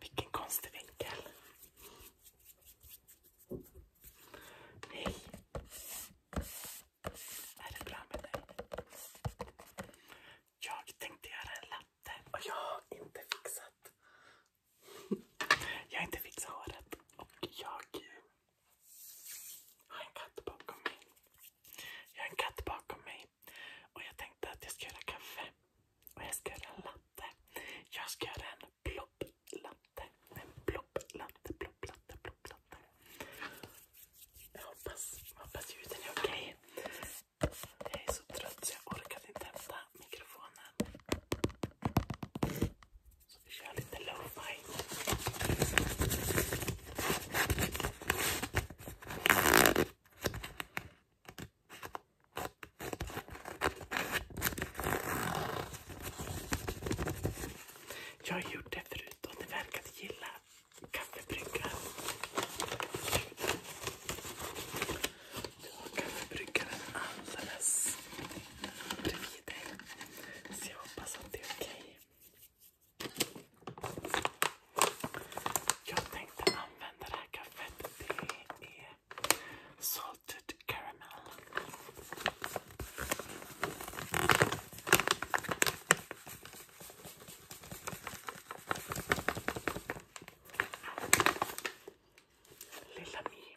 Vilken konstig vinkel. Nej. Är det bra med dig? Jag tänkte göra en latte och jag har inte fixat. Jag har inte fixat håret och jag jag har en katt bakom mig. Jag har en katt bakom mig. Och jag tänkte att jag ska göra kaffe. Och jag ska göra en latte. Jag ska göra en plopplatte. En plopplatte, plopplatte, plopplatte. Jag hoppas, hoppas ljuden är okej. Okay. Jag är så trött så jag orkade inte hämta mikrofonen. Så vi kör lite lo-fi. Jag har gjort det förut och ni verkar gilla kaffebryggaren. Du har kaffebryggaren alldeles bredvid dig. Så jag hoppas att det är okej. Jag tänkte använda här kaffet. Det eh, är salted caramel. Lilla Mi.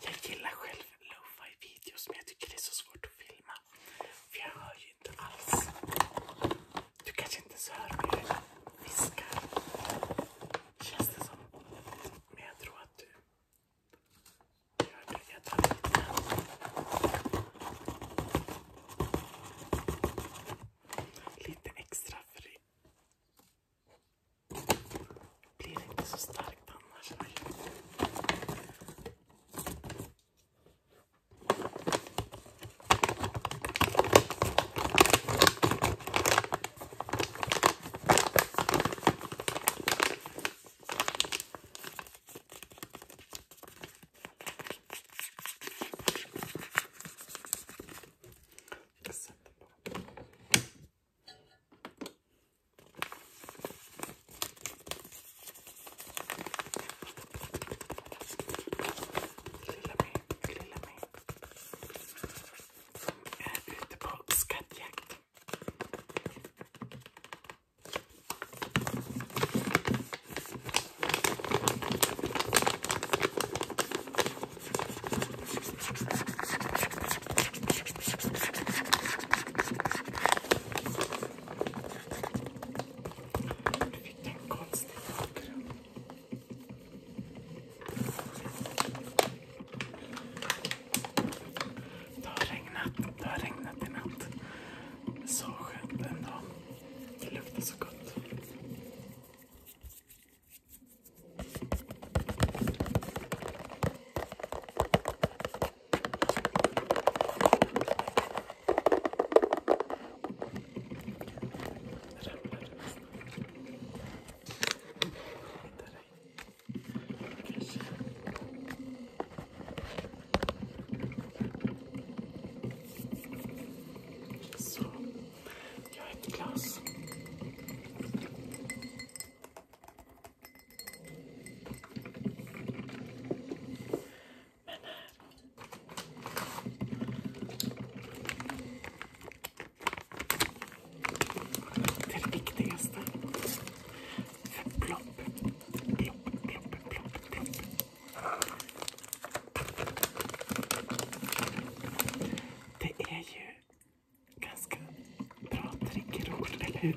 Jag gillar själv lo-fi videos men jag tycker det är så svårt att filma. För jag hör ju inte alls. Du kanske inte ens hör hur viskar. Känns det som. Men jag tror att du gör det. Jag tar lite. extra för blir inte så starkt annars. Jag Lilla mig, lilla mig. Som är ute på skattjakt. Vilken konstig bakgrund. Det har regnat, det har regnat i natt. Så skönt ändå. Det luktar så gott. Så, jag har ett glas. Men här. Eh. Det är det viktigaste. För plopp, plopp, plopp, plopp, plopp. Det är ju Ganska bra triggerord, eller hur?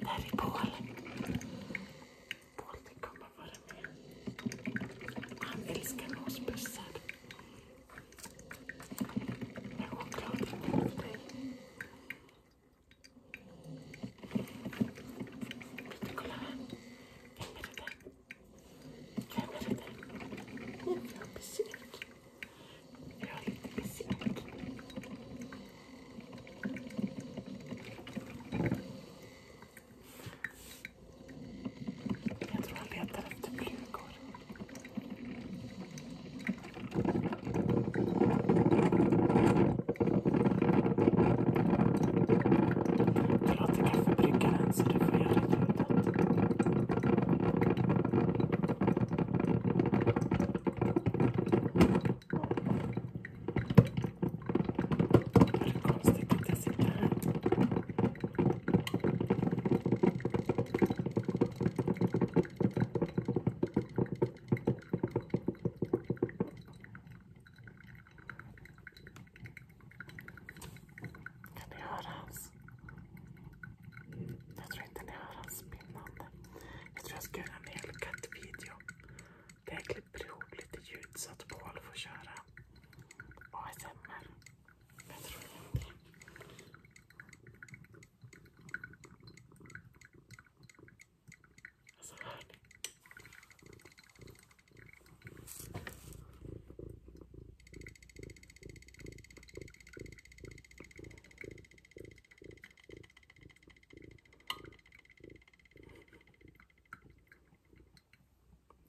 Där är Paul. Paul det kommer vara med. Han älskar oss bussar. Jag är choklad dig kolla här. Vem är det där? Vem är det där? Oh, jag har besök. Jag har lite besök. Jag tror han letar efter flugor. Jag låter kaffebryggaren så du får göra ljudet. Är det konstigt att jag sitter här? Kan ni höra hans... Jag tror inte ni hör hans spinnande. Jag tror jag ska göra en hel kattvideo. Där jag klipper ihop lite ljud så att Paul får köra ASMR. Jag tror det. Alltså hör ni?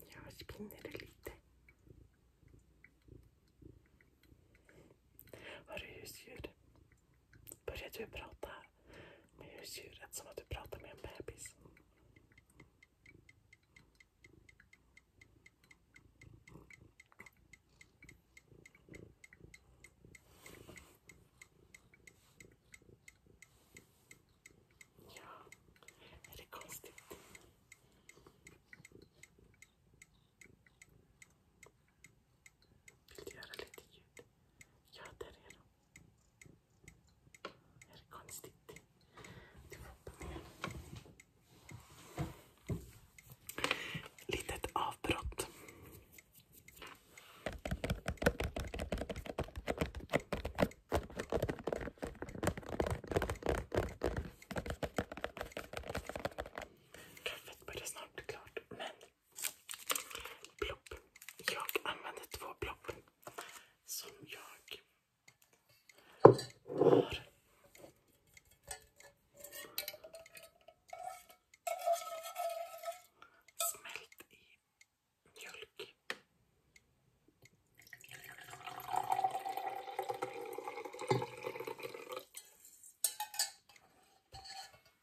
Jag spinner lite. Hör du husdjur. Börjar du prata med husdjuret som att du pratar med en bebis? Ja, är det konstigt? Vill du göra lite ljud? Ja, där är de. Är det konstigt? Du får hoppa med. Litet avbrott. Kaffet börjar snart bli klart. Men plopp. Jag använder två plopp som jag har. Smält i mjölk.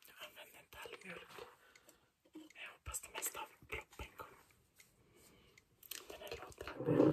Jag använder inte all mjölk. Men jag hoppas det mesta av peppen kommer. Den här låten är bra.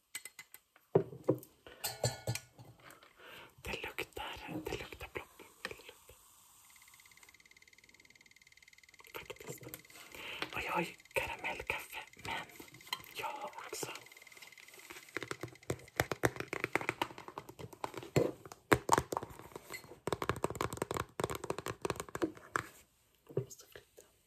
det luktar, det luktar plopp. Faktiskt. Och jag har ju karamellkaffe, men jag har också jag måste flytta.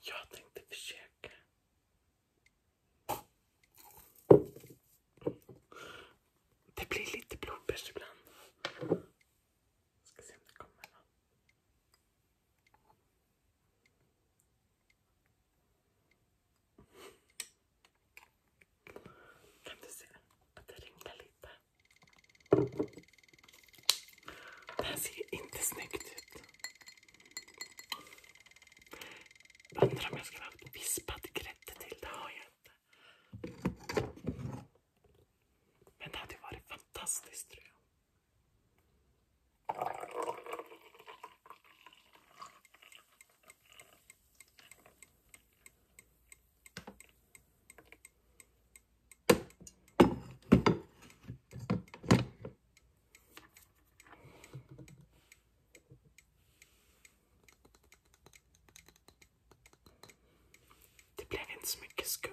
Jag tänkte försöka. Det blir lite blodbärs ibland. Ska se om det kommer någon. Kan du se att det rinkar lite? Det här ser inte snyggt ut. Undrar om jag skulle ha haft vispad grädde till. Det har jag inte. Men det hade varit fantastiskt tror jag. Det blev inte så mycket skum.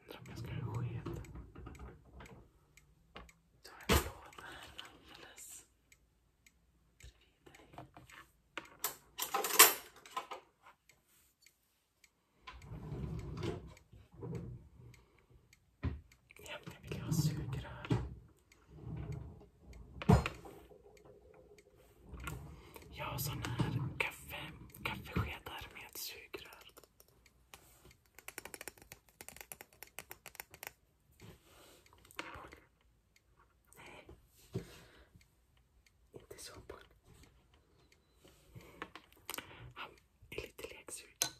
Undrar om jag ska ha sked tar en låda här alldeles bredvid dig. Egentligen vill jag ha sugrör. Jag har sån här kaffe, kaffeskedar med sugrör. Boll. Nej. Inte så boll. Han är lite leksugen.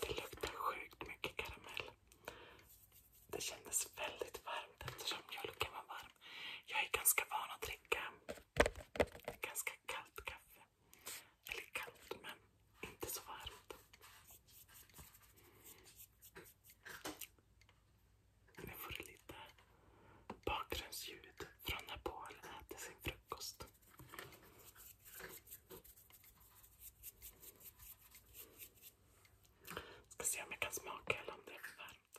Det luktar sjukt mycket karamell. Det kändes väldigt varmt eftersom mjölken var varm. Jag är ganska van att dricka ganska kallt kaffe. Eller kallt, men inte så varmt. Nu får du lite bakgrundsljud från när Paul äter sin frukost. Ska se om jag kan smaka eller om det är för varmt.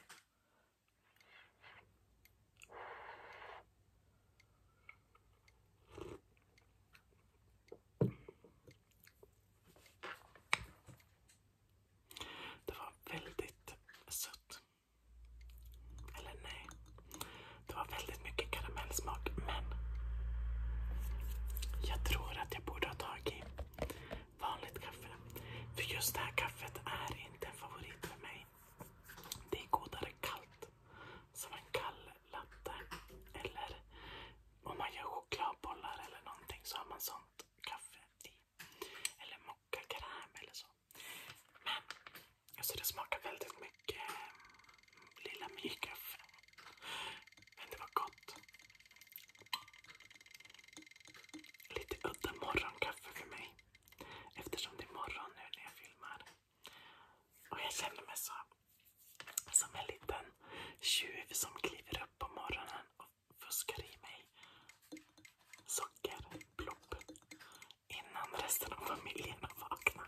Det var väldigt sött. Eller nej. Det var väldigt mycket karamellsmak men jag tror att att jag borde ha tagit vanligt kaffe. För just det här kaffet är inte en favorit för mig. Det är godare kallt. Som en kall latte. Eller om man gör chokladbollar eller någonting så har man sånt kaffe i. Eller mockakräm eller så. Men alltså det smakar väldigt mycket lilla myrkaffe. Men det var gott. Lite udda morgonkaffe för mig. Eftersom det är morgon nu när jag filmar. Och jag känner mig så som en liten tjuv som kliver upp på morgonen och fuskar i mig socker, plopp, innan resten av familjen har vaknat.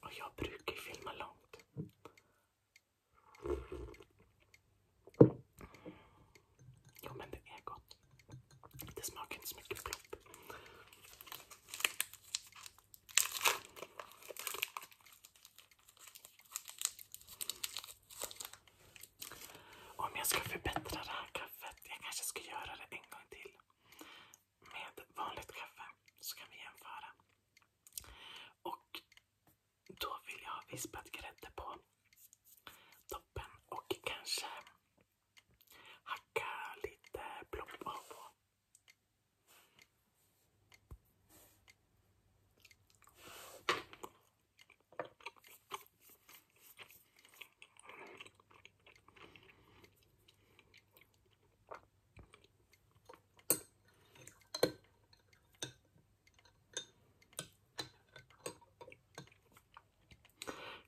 Och jag brukar ju filma långt. Jo men det är gott. Det smakar inte så mycket plopp. Om jag ska förbättra det här kaffet, jag kanske ska göra det en gång till med vanligt kaffe så kan vi jämföra. Och då vill jag ha vispad grädde på toppen och kanske hacka lite blomma på.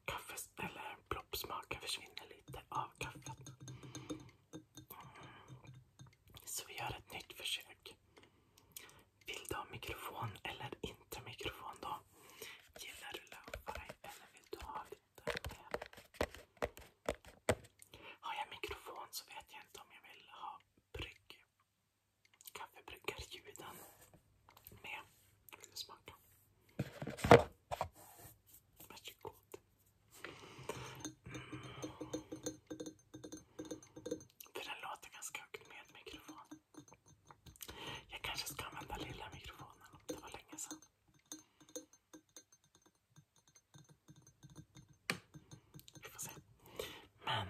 Kaffes försvinner lite av kaffet. Så vi gör ett nytt försök. Vill du ha mikrofon eller inte mikrofon då? Gillar du löpare eller vill du ha har jag mikrofon så vet jag inte om jag vill ha brygg. Kaffebryggarljuden med. Vill du smaka? Varsågod. Mm. den låter ganska högt med mikrofon. Jag kanske ska använda lilla mikrofonen. Det var länge sedan. Vi får se. Men...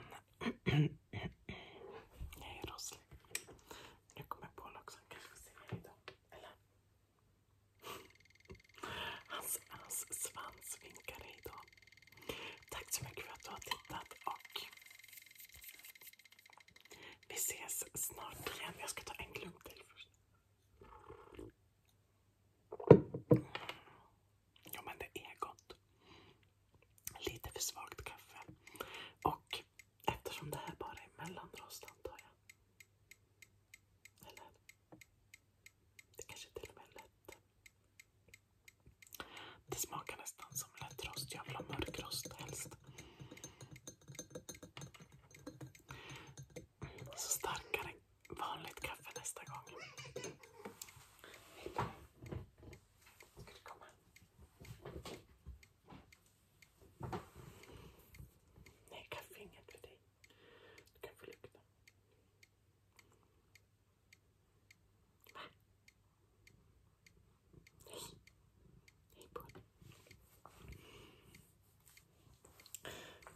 jag är rosslig. Nu kommer jag på en också. Kanske ser idag. Eller? Hans, svans vinkar hej Tack så mycket för att du har tittat och vi ses snart igen. Jag ska ta en klunk till först. Jo men det är gott. Lite för svagt kaffe. Och eftersom det här bara är mellanrost antar jag. Eller? Det kanske till och med är lätt. Det smakar nästan som lättrost. Jag vill ha mörkrost helst. Så starkare vanligt kaffe nästa gång. Ska du komma? Nej, kaffe är inget för dig. Du kan få lukta. Va? Hej. Hej på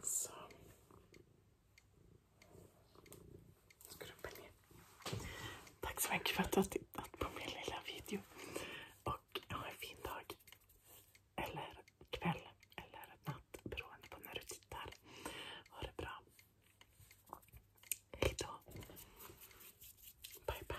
så. Skrubba ner. Tack så mycket för att du har tittat på min lilla video. Och ha en fin dag. Eller kväll. Eller natt. Beroende på när du tittar. Ha det bra. Hej då. Bye bye.